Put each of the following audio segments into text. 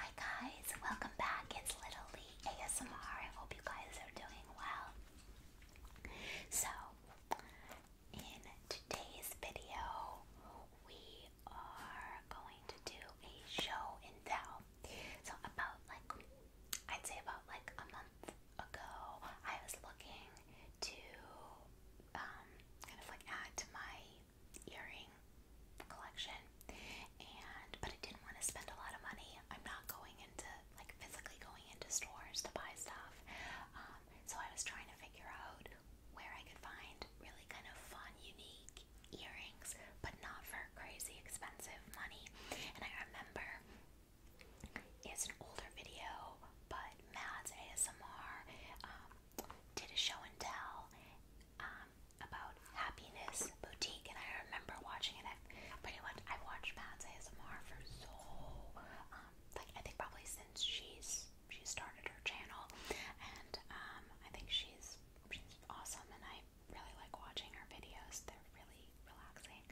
Hi guys, welcome back. It's Little Lee ASMR. I hope you guys are doing well. So, in today's video, we are going to do a show and tell. So, about like, I'd say about like a month ago, I was looking to um, kind of like add to my earring collection, and but I didn't want to spend a lot of money. I'm not going into like physically going into stores to buy stuff, um, so I was trying to figure out where I could find really kind of fun, unique earrings, but not for crazy expensive money. And I remember it's an older video, but Mads ASMR um, did a show and tell um, about Happiness Boutique, and I remember watching it. I pretty much I watched Mads ASMR for so um, like I think probably since she's she started her channel, and um, I think she's she's awesome, and I really like watching her videos. They're really relaxing.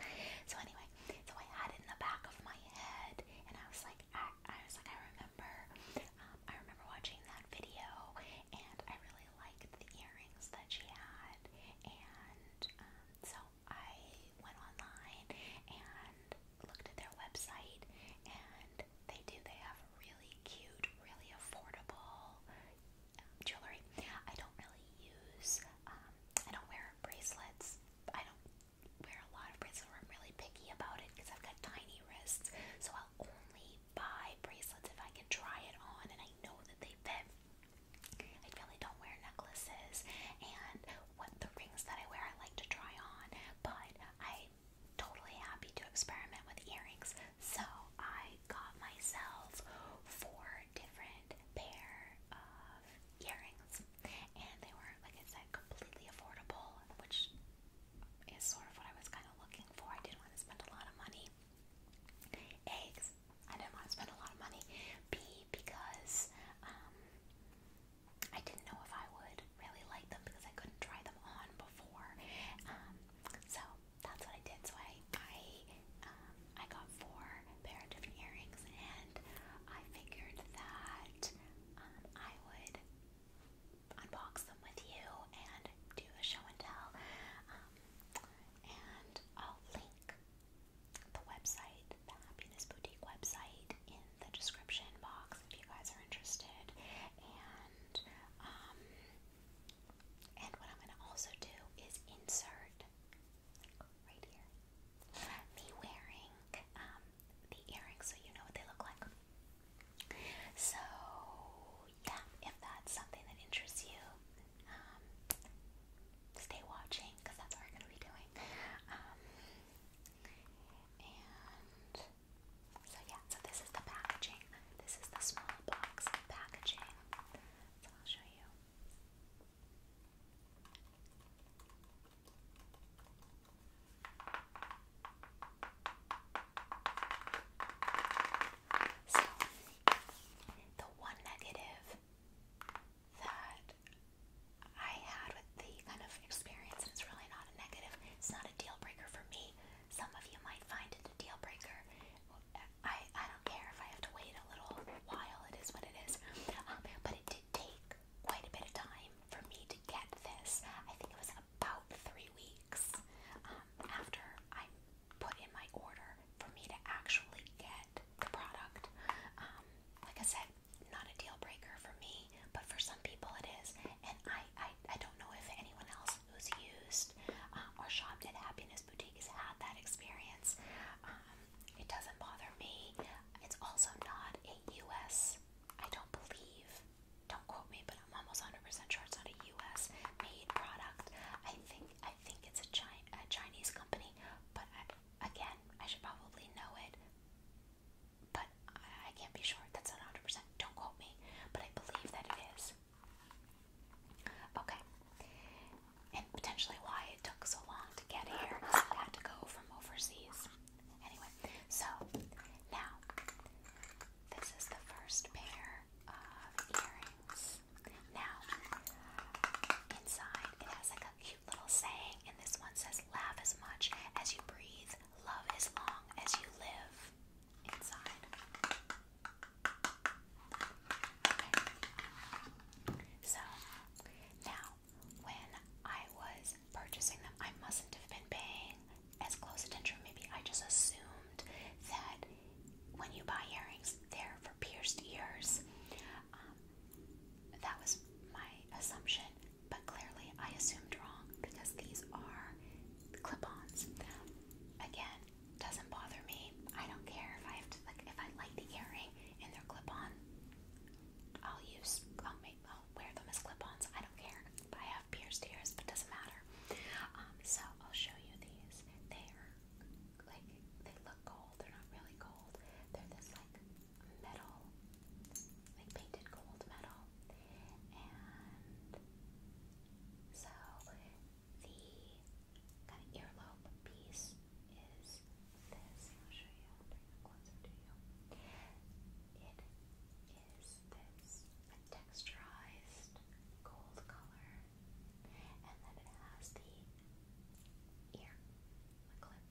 So anyway, so I had it in the back of my head, and I was like, I, I was like, I remember, um, I remember watching that video, and I really liked the earrings that she had, and um, so I went online and looked at their website, and they do, they have really cute, really affordable um, jewelry. I don't really use, um, I don't wear bracelets. I don't wear a lot of bracelets, or I'm really picky about it because I've got tiny wrists. So I'll only buy bracelets if I can try it on and I know that they fit. I really don't wear necklaces, and what the rings that I wear, I like to try on, but I'm totally happy to experiment with earrings. So I got myself four different pair of earrings, and they were, like I said, completely affordable, which is sort of what I was kind of looking for. I didn't want to spend a lot of money. A, because I didn't want to spend a lot of money. B, because um, I didn't know if I would really like them because I couldn't try them on before. Um, so that's what I did. So I I um, I got four pair of different earrings, and I figured that um, I would unbox them with you and do a show and tell. Um, and I'll link the website, the Happiness Boutique website, in the description box if you guys are interested. And and what I'm going to also do is insert right here. Me wearing um, the earrings so you know what they look like. So, yeah, if that's something that interests you, um, stay watching because that's what we're going to be doing. Um, and so, yeah, so this is the packaging. This is the small box packaging. So, I'll show you. So, the one negative that I had with the kind of experience, and it's really not a negative, it's not a deal breaker for me. Some of you might find it a deal breaker. I, I care if I have to wait a little while, it is what it is. Um, but it did take quite a bit of time for me to get this. I think it was about three weeks um, after I put in my order for me to actually get the product. Um, like I said, not a deal breaker for me, but for some people it is. And I, I, I don't know if anyone else who's used uh, or shopped at Happiness this boutique has had that experience. Um, it doesn't bother me. It's also not a U.S. I don't believe. Don't quote me, but I'm almost 100% sure it's not a U.S. made product. I think I think it's a, Chi a Chinese company, but I, again, I should probably know it. But I, I can't be sure. That's not 100%. Don't quote me. But I believe that it is. Okay. And potentially why it took so long to get here because it had to go from overseas. Anyway, so now this is the first pair of earrings. Now, inside it has like a cute little saying, and this one says, Laugh as much as you breathe, love as long as you live. Inside. So now, when I was purchasing them, I mustn't have been paying as close attention. Maybe I just assumed that when you buy earrings, they're for pierced ears. Um, that was my assumption, but clearly I assumed wrong because these are clip-ons. Again, doesn't bother me. I don't care if I have to like if I like the earring and they're clip-on. I'll use I'll make I'll wear them as clip-ons. I don't care. I have pierced ears, but doesn't matter. Um, so I'll show you these. They are like they look gold. They're not really gold. They're this like metal, like painted gold metal, and so kind of earlobe piece is this. I'll show you. I'll bring it closer to you. It is this a texturized gold color, and then it has the ear, clip,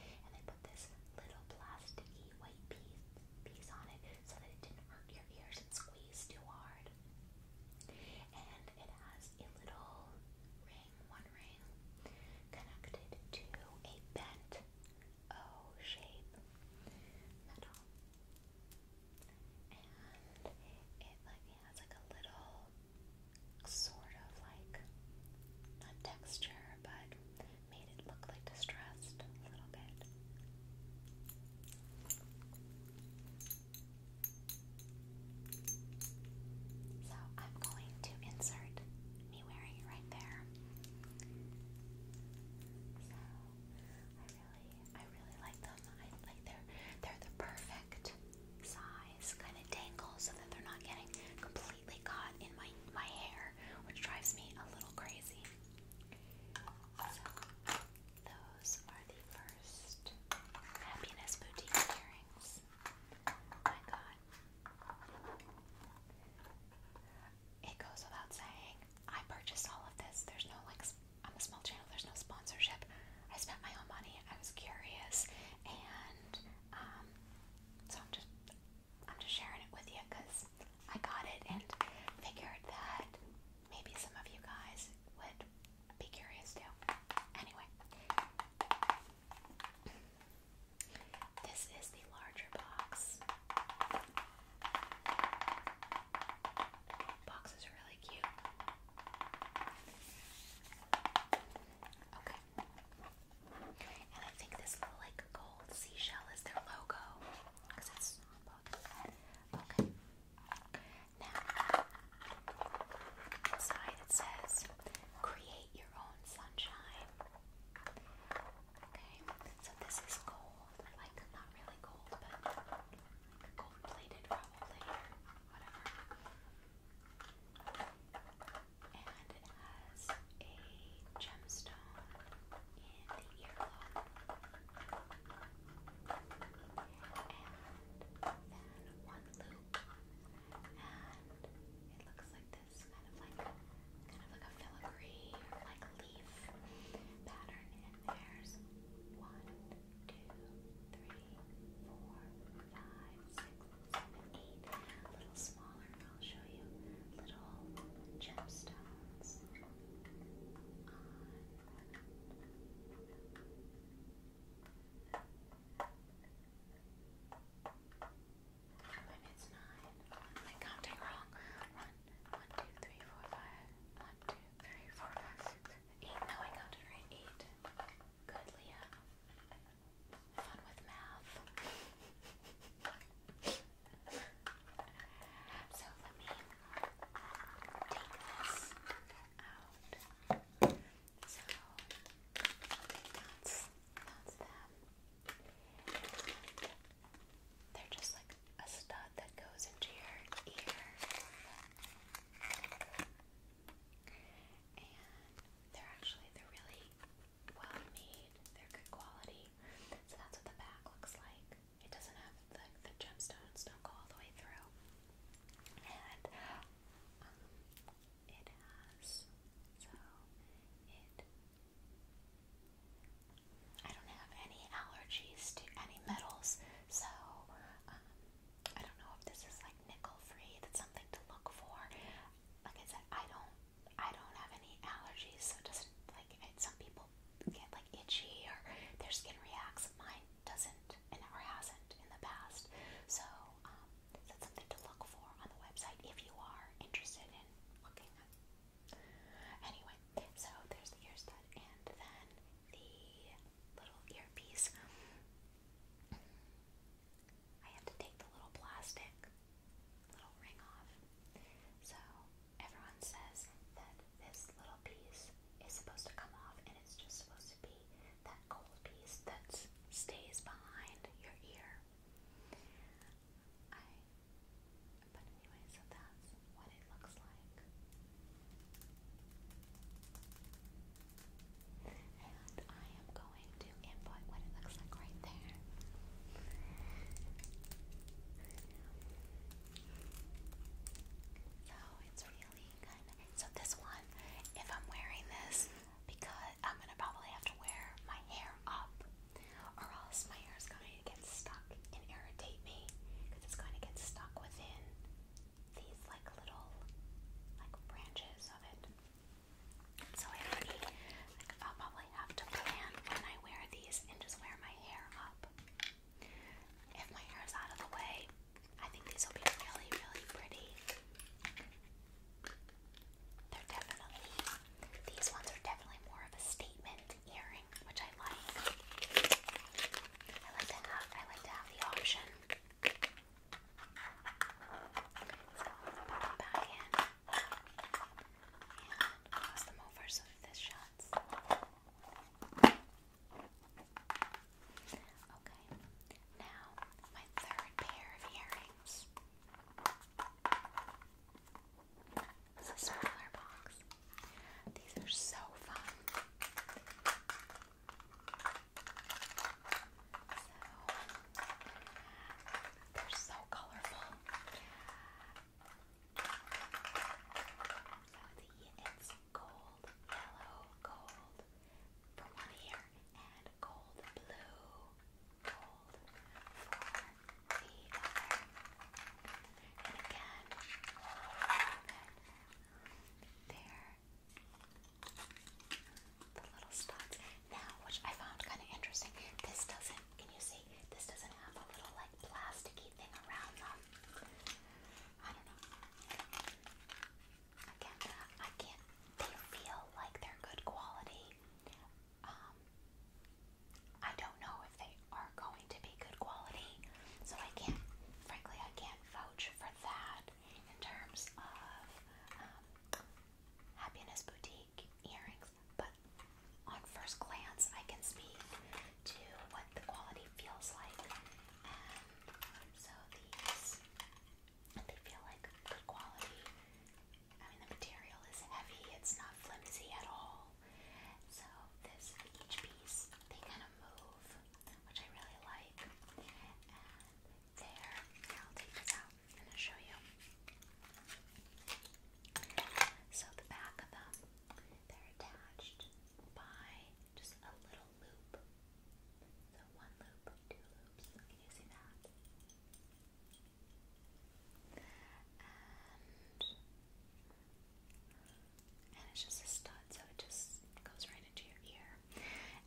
right? And they put this little plasticky white piece piece on it so that it didn't hurt your ears and squeeze too hard card. And it has a little ring, one ring, connected to a bent O shape metal. And it like has like a little sort of like not texture but made it look like distressed a little bit. So I'm going to insert me wearing it right there. So I really, I really like them. I like they're they're the perfect size, kind of dangle, so that they're not getting completely caught in my my hair, which drives me a little crazy. Those are the first Happiness Boutique earrings I oh got. It goes without saying, I purchased all of this. There's no like, I'm a small channel, there's no sponsorship. I spent my own money, I was curious, and um, so I'm just, I'm just sharing it with you because I got it and figured that maybe some of you guys would be curious too. Anyway, this is the larger box. Box is really cute. Okay. And I think this little like gold seashell is their logo Okay. Now, inside it says create your own sunshine. Okay, so this is gold. Like, not really gold, but gold plated, probably, whatever. And it has a gemstone and then one loop. And it looks like this kind of like kind of like a filigree or like leaf pattern. And there's one, two, three, four, five, six, seven, eight. A little smaller, I'll show you little gemstones when it's nine, I'm counting wrong. One, one, two, three, four, five. One, two, three, four, five, six, eight. No, I counted right. Eight. Good, Leah. Fun with math so let me take this out. So that's that's they're just like a stud that goes into your ear. And they're actually they're really well made. They're good quality. So that's what the back looks like it doesn't have like the gemstones don't go all the way through, and um, it has so it. I don't have any allergies to any metals, so um, I don't know if this is like nickel free. That's something to look for. Like I said, I don't, I don't have any allergies, so doesn't like. It, some people get like itchy or their skin reacts. Mine doesn't and hasn't in the past. So um, that's something to look for on the website if you are interested in looking Anyway, so there's the ear stud and then the little earpiece. I have to take the little plastic little ring off. So everyone says that this little piece is supposed to come off and it's just supposed to be that gold piece that stays behind your ear. I but anyway, so that's what it looks like. And I am going to input what it looks like right there. So it's really kind So this one, if I'm wearing this, because I'm gonna probably have to wear my hair up, or else my hair is going to get stuck and irritate me, because it's going to get stuck within these like little like branches of it. So I have to will probably have to plan when I wear these and just wear my hair if my hair is out of the way, I think these will be really, really pretty. They're definitely, these ones are definitely more of a statement earring, which I like. I like to have, I like to have the option. So, put them back in. Okay, now my third pair of earrings. It's a smaller box. These are so fun. they're so colorful. So the it's gold yellow, gold for one ear, and gold blue, gold for the And again, there, the little spots. Now, which I found kind of interesting, this doesn't can you see? This doesn't have a little like plasticky thing around them. I don't know. Again, uh, I can't. They feel like they're good quality. Um, I don't know if they are going to be good quality, so I can't. Frankly, I can't vouch for that in terms of um, Happiness Boutique earrings, but on first glance, I can speak to what the quality feels like, so these they feel like good quality. I mean, the material is heavy; it's not flimsy at all. So each piece they kind of move, which I really like. And there, I'll take this out and show you. So the back of them, they're attached by just a little loop. So one loop, two loops. Can you see that? And it's just a stud, so it just goes right into your ear.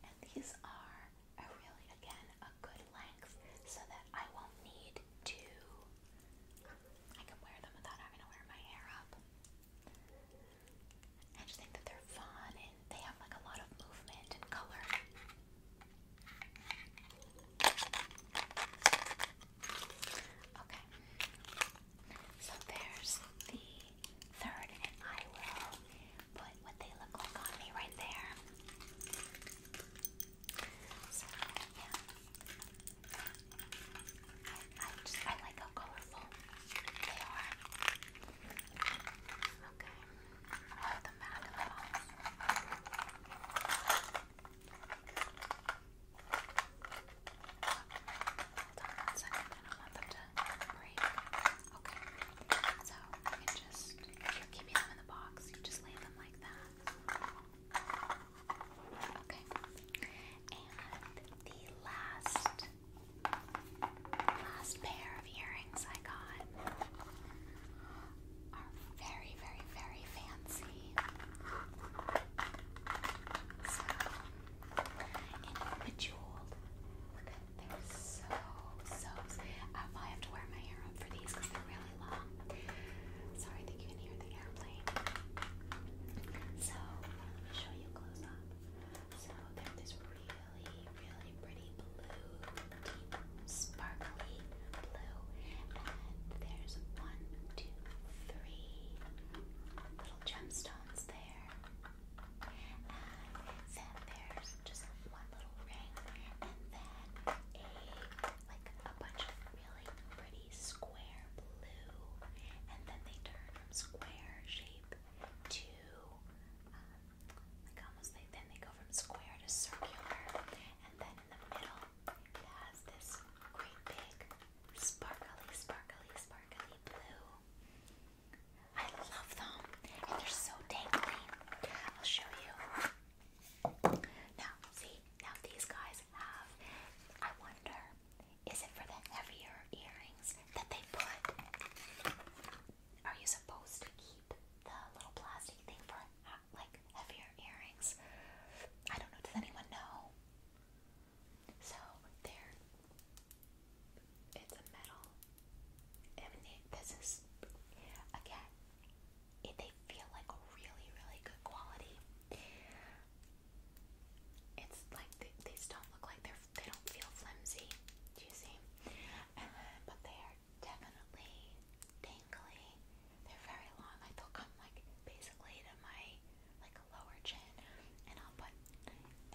And these are really again a good length so that I won't need to I can wear them without having to wear my hair up. I just think that they're fun and they have like a lot of movement and color. Okay. So there's the third and I will put what they look like on me right there. So I, just I like how colorful they are. Okay, oh, the back of it all. Hold on one second. I don't want them to break. Okay, so you just if them in the box, just lay them like that. Okay. And the last last pair of earrings I got are very, very, very fancy. So and bejeweled. Look at they're so so I probably have to wear my hair up for these because they're really Sorry, I think you can hear the airplane. So, let me show you close up. So, they this really, really pretty blue, deep, sparkly blue. And there's one, two, three little gemstones there. And then there's just one little ring, and then a like a bunch of really pretty square blue, and then they turn from square shape to um, like almost like then they go from square to circular, and then in the middle it has this great big sparkly, sparkly, sparkly blue. I love them, and they're so dangly. I'll show you. Now, see, now these guys have, I wonder, is it for the heavier earrings that they put? Are you supposed to keep the little plastic thing for like heavier earrings? I don't know, does anyone know? So, there, it's a metal. this is, again, they feel like really, really good quality. It's like they, these don't look like they're they don't feel flimsy. Do you see? Uh, but they are definitely dangly. They're very long. Like they'll come like basically to my like lower chin, and I'll put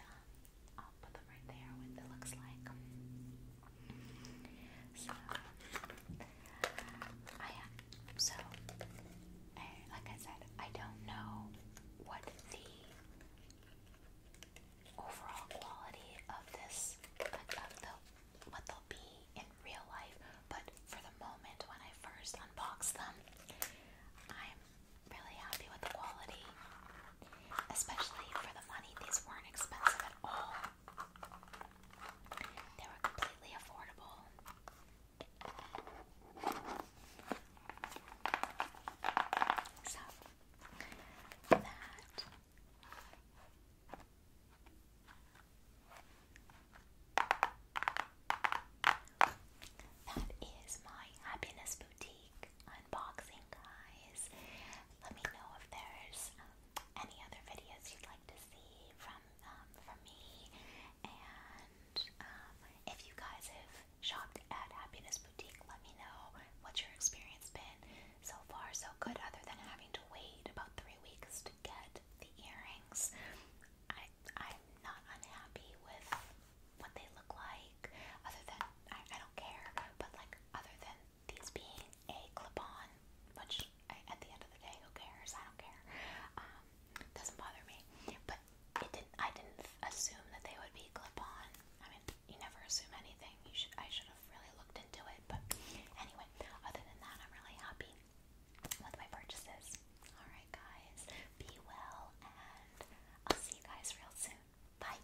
um, I'll put them right there. What it looks like. So, I like I said, I don't know what the overall quality of this, of the, what they'll be in real life, but for the moment when I first unbox them, I'm really happy with the quality, especially for the money. These weren't expensive at all. They were that is my happiness boutique unboxing guys. Let me know if there's um, any other videos you'd like to see from um, from me, and um, if you guys have shopped at Happiness Boutique, let me know what your experience been so far. So good, other than having to wait about three weeks to get the earrings. I I'm not unhappy with what they look like, other than I, I don't care. But like, other than these being a clip-on, which at the end of the day, who cares? I don't care. Um, doesn't bother me. But I didn't assume that they would be clip-on. I mean, you never assume anything. You should. I should have really looked into it. But anyway, other than that, I'm really happy with my purchases. All right, guys. Be well, and I'll see you guys real soon. Bye.